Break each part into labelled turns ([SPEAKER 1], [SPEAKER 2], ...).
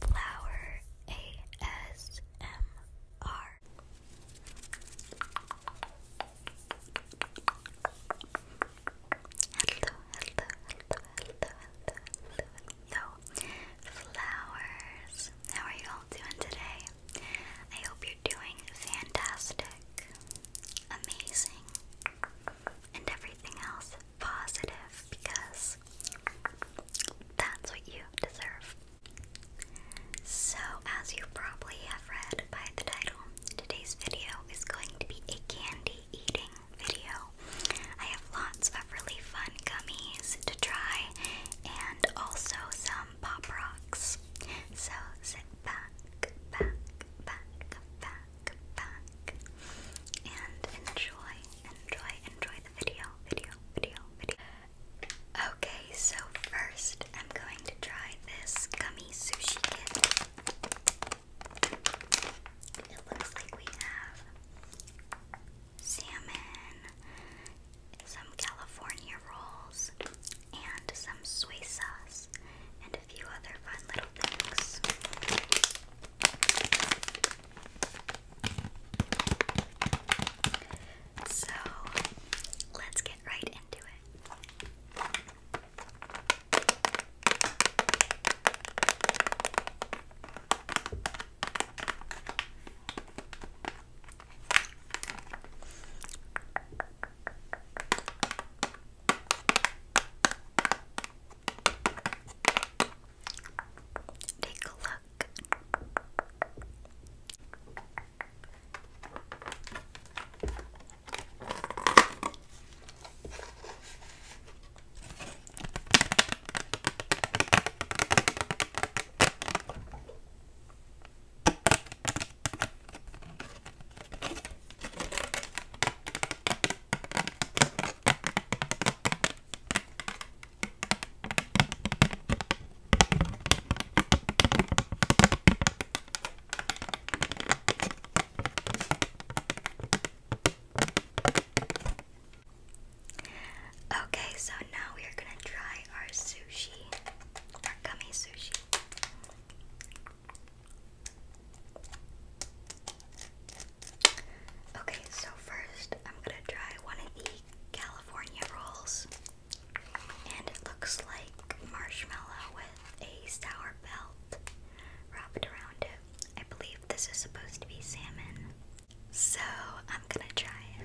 [SPEAKER 1] Flower ASMR. Hello, hello, hello, hello, hello, hello, Flowers. How are you all doing today? I hope you're doing fantastic, amazing, and everything else positive because that's what you deserve. So, as you probably have read by the title, today's video is going to be a candy eating video. I have lots of really fun gummies to try and also some pop rocks. So, sit back, back, back, back, back, and enjoy enjoy, enjoy the video, video, video, video. Okay, so first I'm going to try this gummy sushi kit. It looks like we have salmon, some California rolls, and some soy sauce, and a few other fun little things. So let's get right into it. Take a look. Okay, so now we are going to try our sushi, our gummy sushi. Okay, so first I'm gonna try one of the California rolls. And it looks like marshmallow with a sour belt wrapped around it. I believe this is supposed to be salmon. So I'm gonna try it.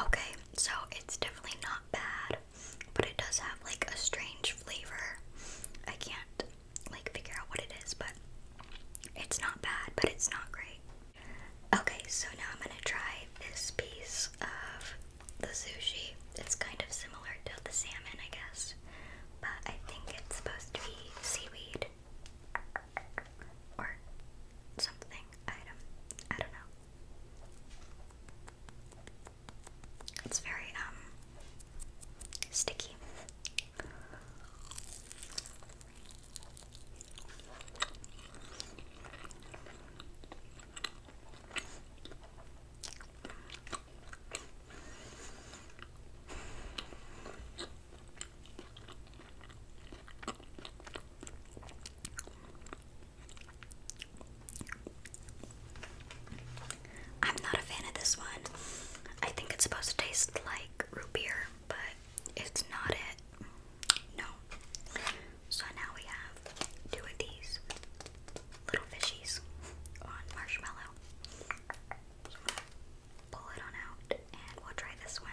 [SPEAKER 1] Okay, so it's definitely not bad, but it does have like a strange flavor. I can't like figure out what it is, but it's not bad, but it's not great. Okay, so now I'm gonna try this piece of the sushi. It's kind of similar to the salmon, I guess, but I think it's supposed to be seaweed or something item. I don't know. It's very um sticky. I'm not a fan of this one. I think it's supposed to taste like root beer, but it's not it. No. So now we have two of these little fishies on marshmallow. pull it on out and we'll try this one.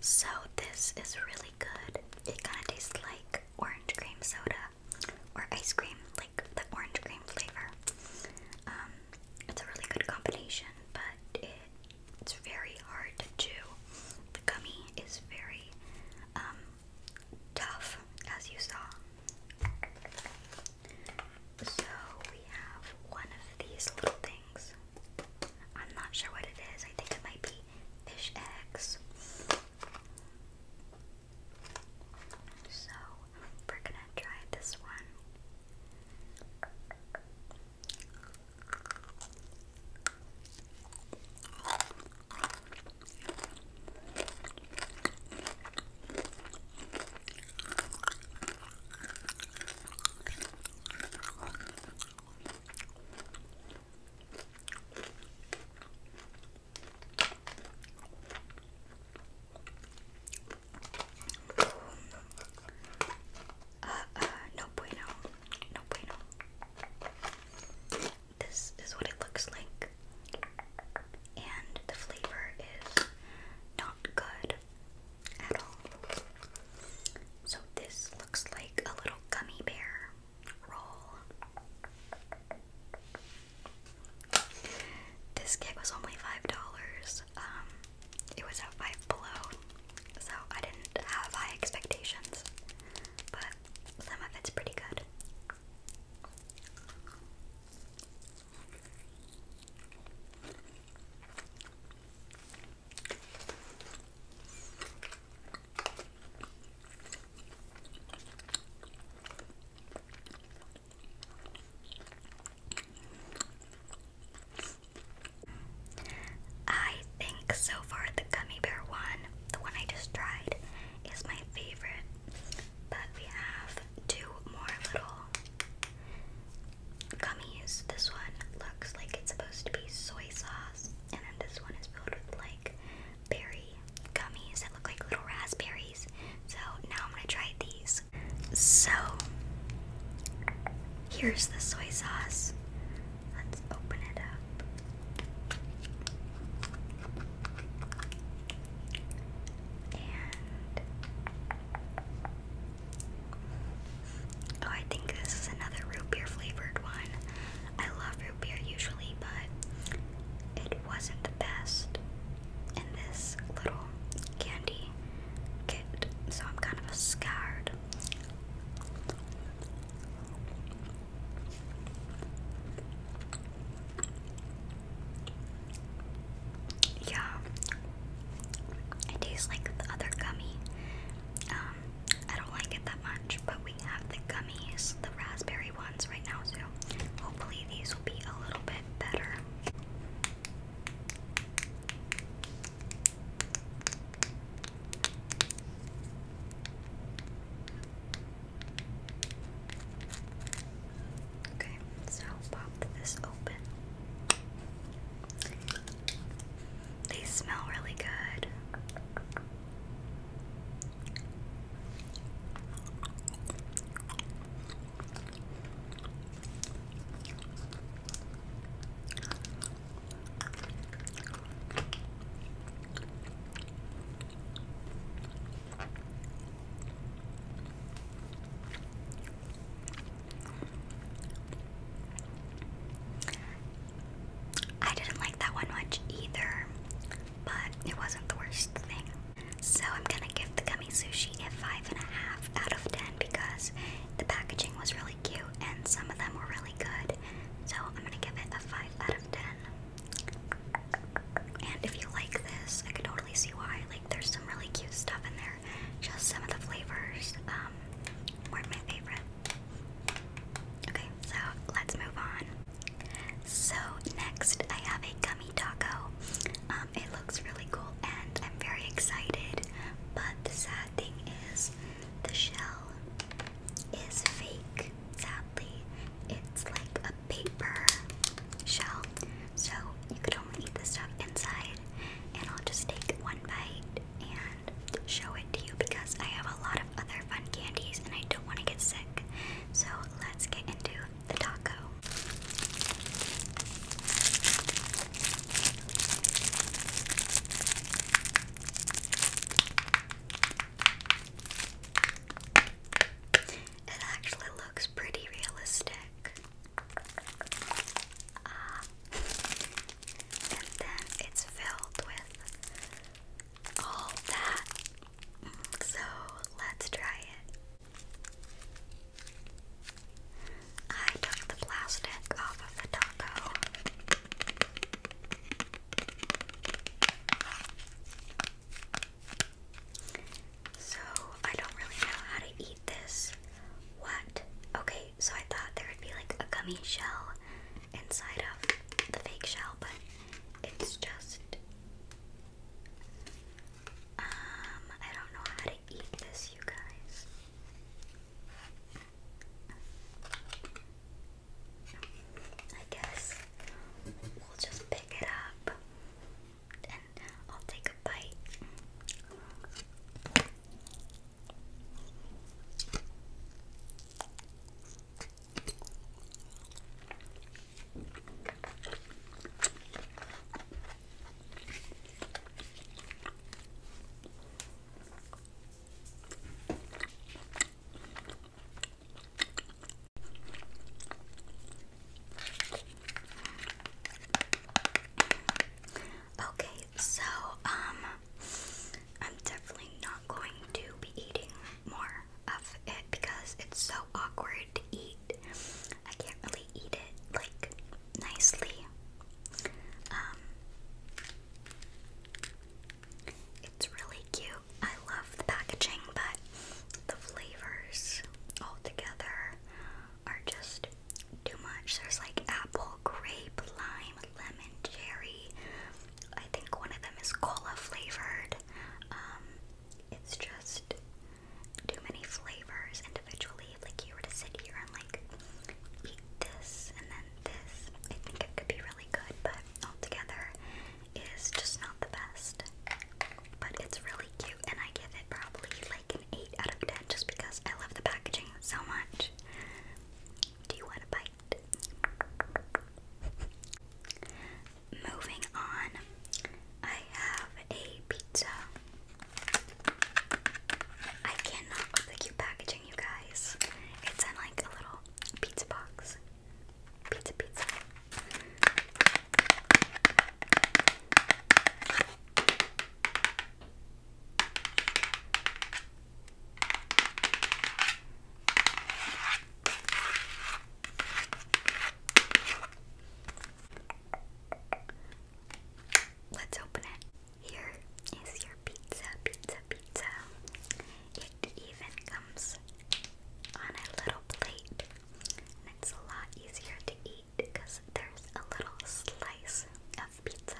[SPEAKER 1] So this is really good. It kind of tastes like orange cream soda or ice cream, like the orange cream flavor. Um, it's a really good combination, but it's very hard to The gummy is very um, tough, as you saw. So we have one of these little things. I'm not sure what it is. I think it might be fish eggs. So we're gonna try this one. Uh, uh, no bueno, no bueno. This is what it looks like, and the flavor is not good at all. So this looks like a little gummy bear roll. This kit was only $5. Um, it was at Five Below, so I didn't have high expectations, but some of it's pretty good. I think so far the gummy bear one, the one I just tried, is my favorite. But we have two more little gummies. This one looks like it's supposed to be soy sauce, and then this one is filled with like berry gummies that look like little raspberries. So now I'm gonna try these. So here's the soy sauce. Let's open it up. Oh, I think this is another root beer flavored one. I love root beer usually, but it wasn't the best in this little candy kit, so I'm kind of scared. Yeah, it tastes like the other gummy. Um, I don't like it that much, but we have the gummies, the raspberry ones right now, so hopefully these will be a little bit better. Okay, so pop this open. They smell really good. I didn't like that one much either, but it wasn't the worst thing. So I'm gonna give the gummy sushi a five and a half out of ten because the packaging was really cute and some of them were really good. So I'm gonna give it a five out of ten. And if you like this, I can totally see why there's some really cute stuff in there. Just some of the flavors um, weren't my favorite. Okay, so let's move on. So next I have a gummy taco. Um, it looks really cool and I'm very excited. But the sad thing is the shell is fake. Sadly, it's like a paper shell, so you could only eat the stuff inside. And I'll just take one bite and show it to you because I have a lot of other fun candies and I don't want to get sick. So let's get into the taco. It actually looks pretty realistic. Ah. and then it's filled with all that. So let's try it. I took the plastic off of the taco. So, I don't really know how to eat this. What? Okay, so I thought there would be like a gummy shell inside of the fake shell, but it's just. Um, I don't know how to eat this, you guys. I guess we'll just pick it up I'll take a bite. Okay, so um I'm definitely not going to be eating more of it because it's so awkward to eat. I can't really eat it like nicely. Um It's really cute. I the packaging, but the flavors all together are just too much. There's like apple, grape, lime, lemon, cherry. I think one of them is cola flavored. Um, it's just too many flavors individually. like you were to sit here and like eat this and then this, I think it could be really good, but all together is just not the best. But it's really cute, and I give it probably like an 8 out of 10 just because I love the packaging so much. Do you want a bite? Moving on, I have a pizza. I cannot with the cute packaging, you guys. It's in like a little pizza box. Pizza, pizza. Let's open it. Here is your pizza, pizza, pizza. It even comes on a little plate it's a lot easier to eat because there's a little slice of pizza.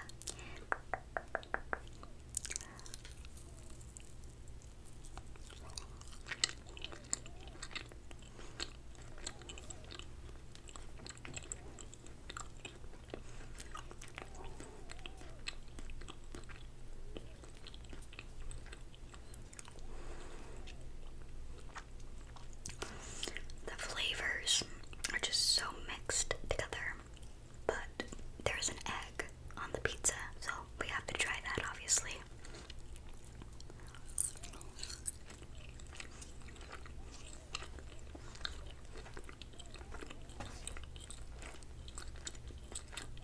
[SPEAKER 1] The flavors are just so mixed together, but there's an egg on the pizza, so we have to try that obviously.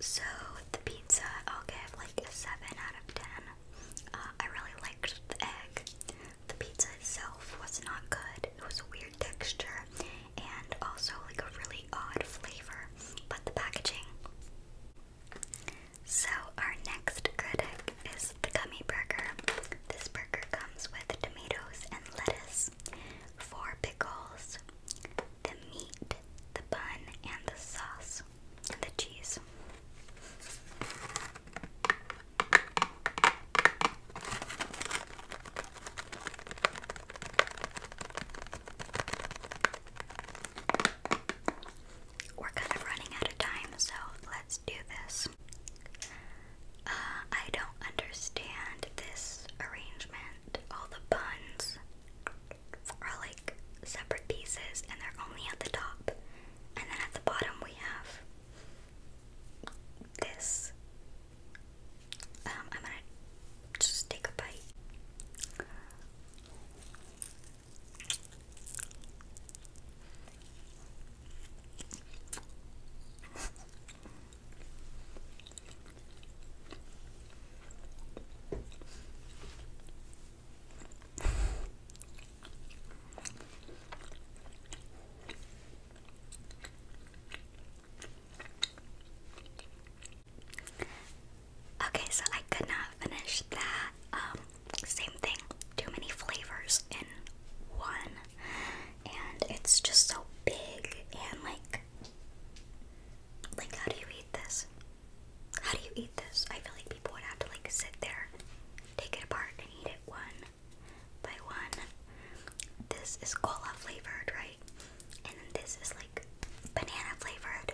[SPEAKER 1] so the pizza, I'll give like a 7 out of 10. Uh, I really liked the egg. The pizza itself was not good. It was a weird texture and also like a really odd flavor, but the packaging. So, our next critic is the gummy burger. This burger comes with tomatoes and lettuce, four pickles, the meat the bun and the sauce and the cheese. We're kind of running out of time, so let's do this. Uh, I don't understand this arrangement. All the buns are like separate pieces and they're only at the top. And then at the bottom we have this. Um, I'm gonna just take a bite. Okay, so I could not finish that. Um, same thing. Too many flavors in one. And it's just so big and like like how do you eat this? How do you eat this? I feel like people would have to like sit there, take it apart, and eat it one by one. This is cola flavored, right? And this is like banana flavored.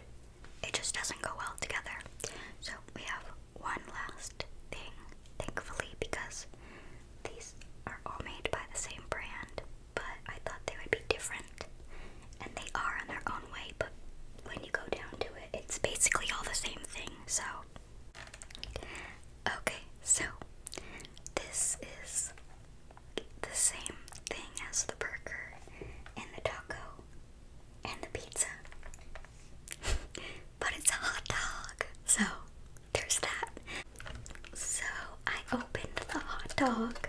[SPEAKER 1] It just doesn't go well together. So we have one last thing, thankfully, because these are all made by the same brand but I thought they would be different. And they are in their own way, but when you go down to it, it's basically all the same thing, so. Okay, so this is the same thing as the burger and the taco and the pizza. but it's a hot dog, so there's that. So I opened the hot dog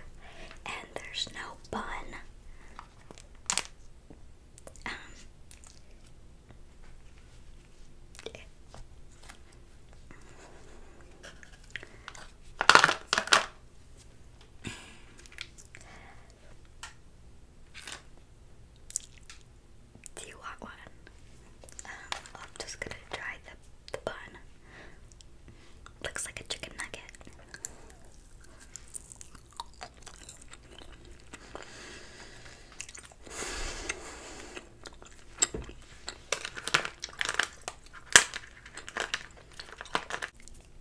[SPEAKER 1] and there's no bun. Um, do you want one? Um, I'm just gonna try the, the bun. Looks like a chicken nugget.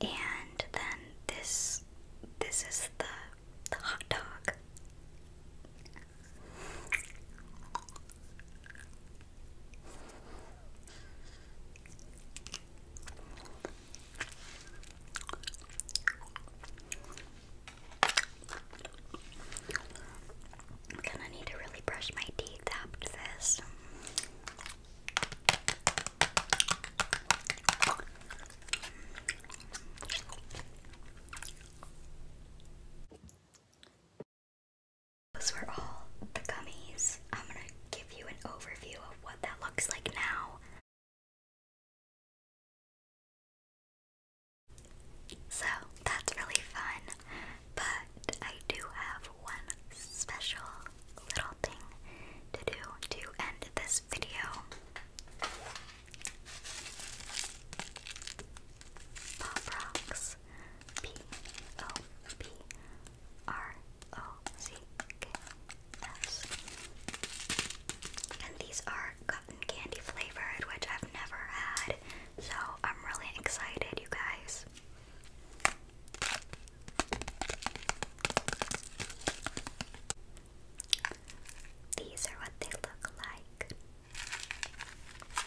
[SPEAKER 1] And then this this is the the hot dog. I'm gonna need to really brush my teeth after this. Those were all the gummies. I'm gonna give you an overview of what that looks like now. So that's really fun, but I do have one special little thing to do to end this video. Pop rocks is And these are cotton candy flavored, which I've never had, so I'm really excited, you guys. These are what they look like.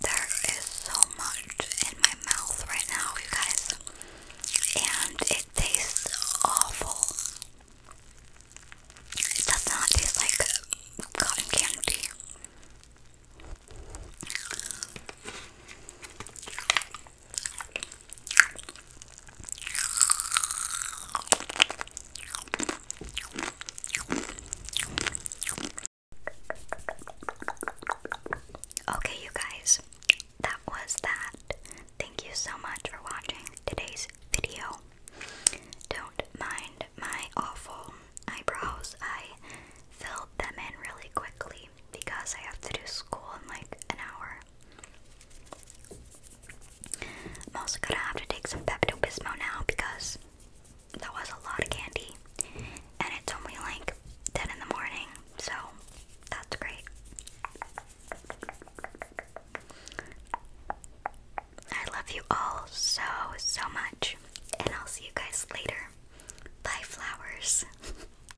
[SPEAKER 1] There is so much in my mouth right now, you guys, and it tastes awful. It does not taste like cotton candy. Okay, you guys, that was that. Thank you so much for watching today's video. Don't mind my awful eyebrows, I filled them in really quickly because I have to do school in like an hour. I'm also gonna have to take some Pepto Bismol now because that was a lot of candy, and it's only like 10 in the morning, so that's great. I love you all so, so much, and I'll see you guys later. Bye, flowers.